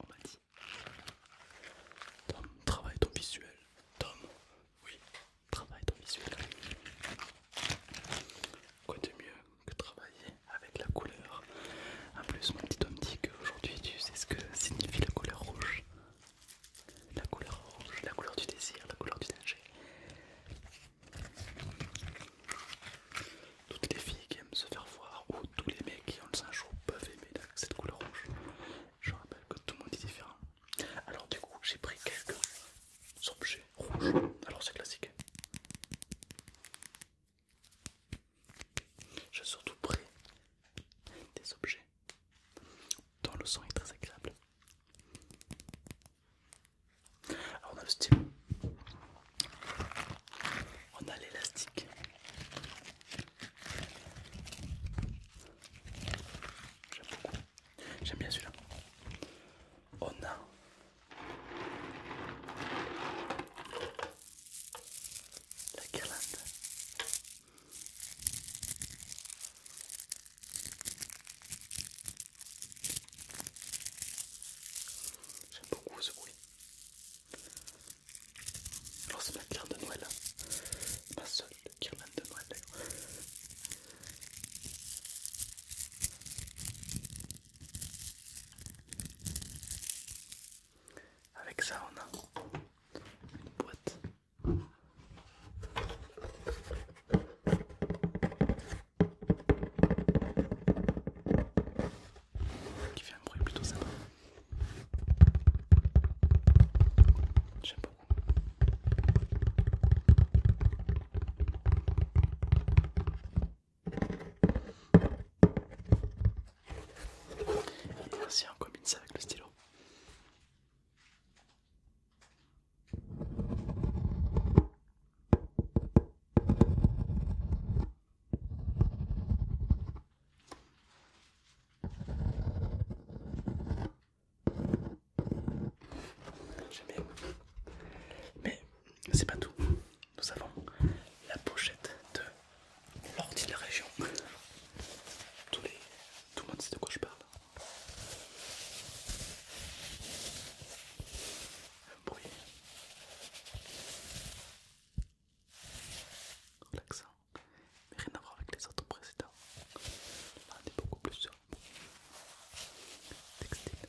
On m'a dit. Tom, travaille ton visuel. Tom, oui, travaille ton visuel. Quoi de mieux que travailler avec la couleur En plus, mon petit Tom dit qu'aujourd'hui tu sais ce que signifie la couleur rouge la couleur orange, la couleur du désir, la couleur du danger. Toutes les filles qui aiment se faire voir ou tous les mecs qui ont le sang chaud peuvent aimer cette couleur rouge Je rappelle que tout le monde est différent. Alors du coup j'ai pris quelques objets rouges. Alors c'est classique. J'ai surtout pris des objets dans le son est très agréable. Alors on a le style, on a l'élastique, j'aime beaucoup, j'aime bien celui-là. On a la guirlande J'aime beaucoup ce bruit. Alors c'est ma pierre de Noël. Hein. Ma seule pierre de Noël d'ailleurs. Avec ça on a une boîte qui fait un bruit plutôt sympa. J'aime beaucoup. Et merci combine ça avec le stylo. Mais c'est pas tout. Nous avons la pochette de l'ordi de la région. Tous les... Tout le monde sait de quoi je parle. Un bruit. Relaxant. Mais rien à voir avec les autres précédents. on est beaucoup plus textile.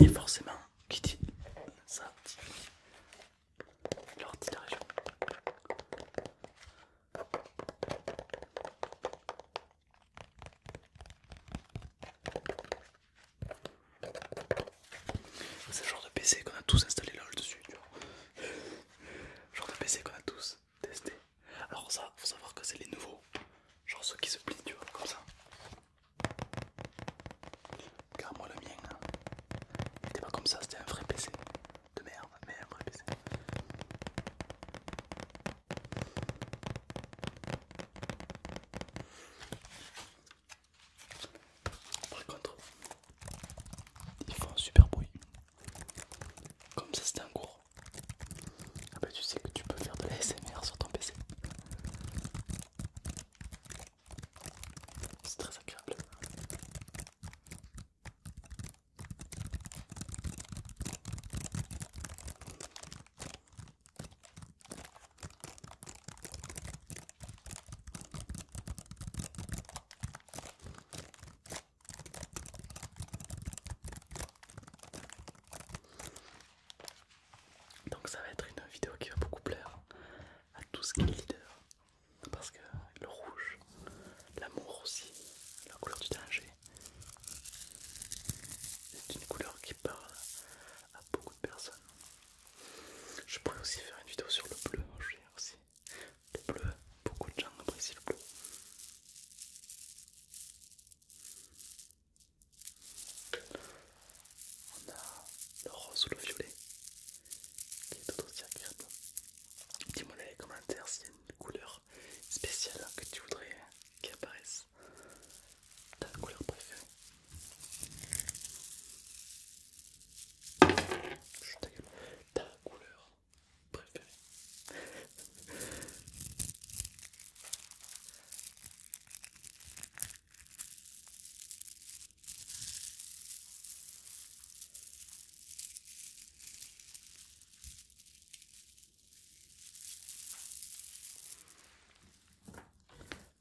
Et forcément, qui dit ça dit l'ordi de la région. C'est le genre de PC qu'on a tous installé là dessus, genre de PC qu'on a tous tester. Alors ça, faut savoir que c'est les nouveaux, genre ceux qui se plient, tu vois, comme ça. Car moi le mien, hein. pas comme ça, c'était un vrai PC de merde, mais un vrai PC. Par contre, ils font un super bruit. Comme ça c'était un cours. Ah bah tu sais que tu peux faire de la SMR sur ton PC. C'est très agréable. Donc ça va être une vidéo qui va beaucoup plaire à tout ce qui est leader. Parce que le rouge, l'amour aussi, la couleur du danger, c'est une couleur qui parle à beaucoup de personnes. Je pourrais aussi faire une vidéo sur le bleu, aussi le bleu, beaucoup de gens apprécient le bleu. On a le rose ou le violet qui est tout aussi agréable. Dis-moi dans les commentaires s'il y a une couleur spéciale que tu voudrais qui apparaisse. Ta couleur préférée. Chut, ta couleur préférée.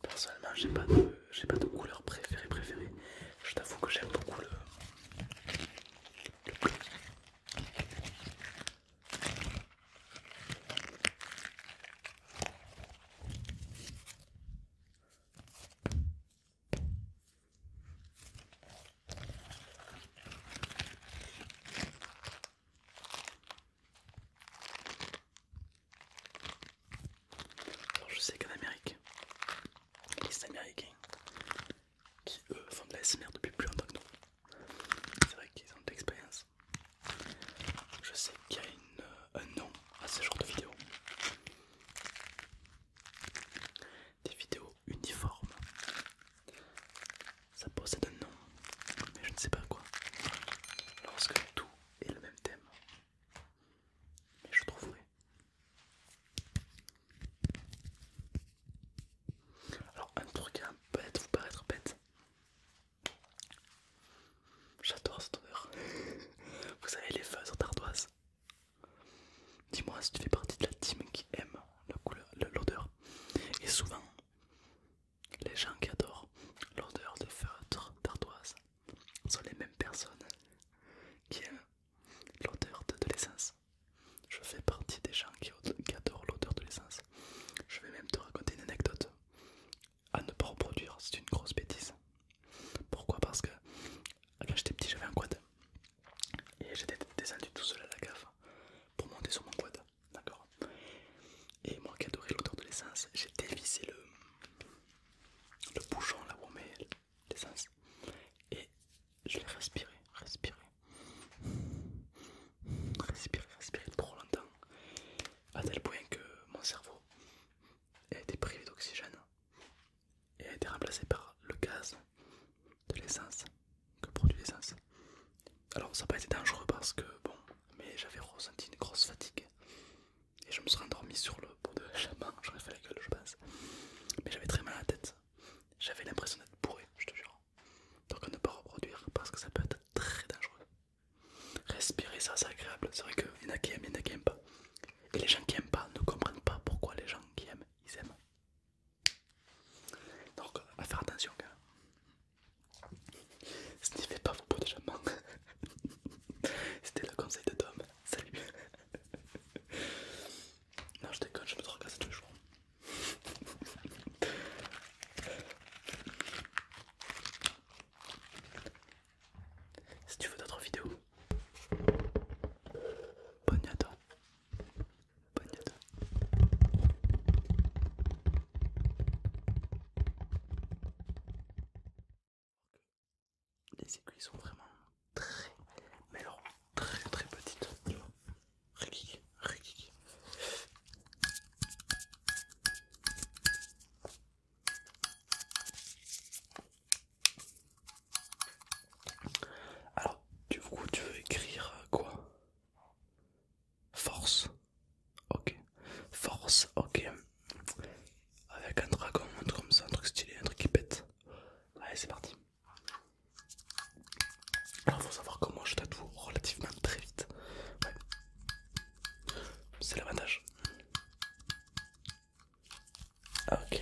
Personnellement, j'ai pas de, pas de couleur préférée préférée. Je t'avoue que j'aime beaucoup le, le bleu. Alors je sais qu'en Amérique, les Américains, qui eux font de la SMR depuis plus longtemps que nous, c'est vrai qu'ils ont de l'expérience. Je sais qu'il y a euh, un nom à ce genre de vidéos Des vidéos uniformes. Ça possède un nom, mais je ne sais pas quoi. Lorsque tout est le même thème, mais je trouverai. Alors un truc peut bête, vous paraître bête. J'adore cette odeur. vous savez les feuilles d'ardoise. Dis-moi si tu fais partie de la team qui aime l'odeur. Et souvent, les gens qui adorent l'odeur de feutre d'ardoise sont les mêmes personnes qui aiment l'odeur de, l'essence. Je fais partie des gens qui, adorent l'odeur de l'essence. Je vais même te raconter une anecdote à ne pas reproduire, c'est une grosse bêtise. Pourquoi Parce que quand j'étais petit, j'avais un quad et j'étais descendu tout seul à la cave pour monter sur mon quad d'accord Et moi qui adorais l'odeur de l'essence, j'ai dévissé le, le bouchon là où on met l'essence et je l'ai respiré, respiré, respiré, respiré trop longtemps, à tel point que mon cerveau a été privé d'oxygène et a été remplacé par le gaz de l'essence que produit l'essence alors ça n'a pas été dangereux parce que bon, mais j'avais ressenti une grosse fatigue et je me serais endormi sur le bout de la main, j'aurais fait la gueule je pense. Mais j'avais très mal à la tête, j'avais l'impression d'être bourré, je te jure. Donc à ne pas reproduire parce que ça peut être très dangereux. Respirer ça c'est agréable, c'est vrai qu'il y en a qui aiment, il qui aiment pas. Et les gens qui aiment pas ne comprennent pas pourquoi les gens qui aiment, ils aiment. Donc à faire attention quand Sniffez pas vos pots de C'était le conseil de Tom. Salut. non, je déconne, je me tracasse tous les jours. Si tu veux d'autres vidéos, bonne nuit à toi. Les aiguilles sont vraiment très, mais alors très très petites, tu vois. Rikiki, rikiki. Alors, du coup, tu veux écrire quoi Force. Ok. Force, ok. Avec un dragon, un truc comme ça, un truc stylé, un truc qui pète. Allez, c'est parti. Alors, faut savoir que moi je tatoue relativement très vite. Ouais. C'est l'avantage. Ok.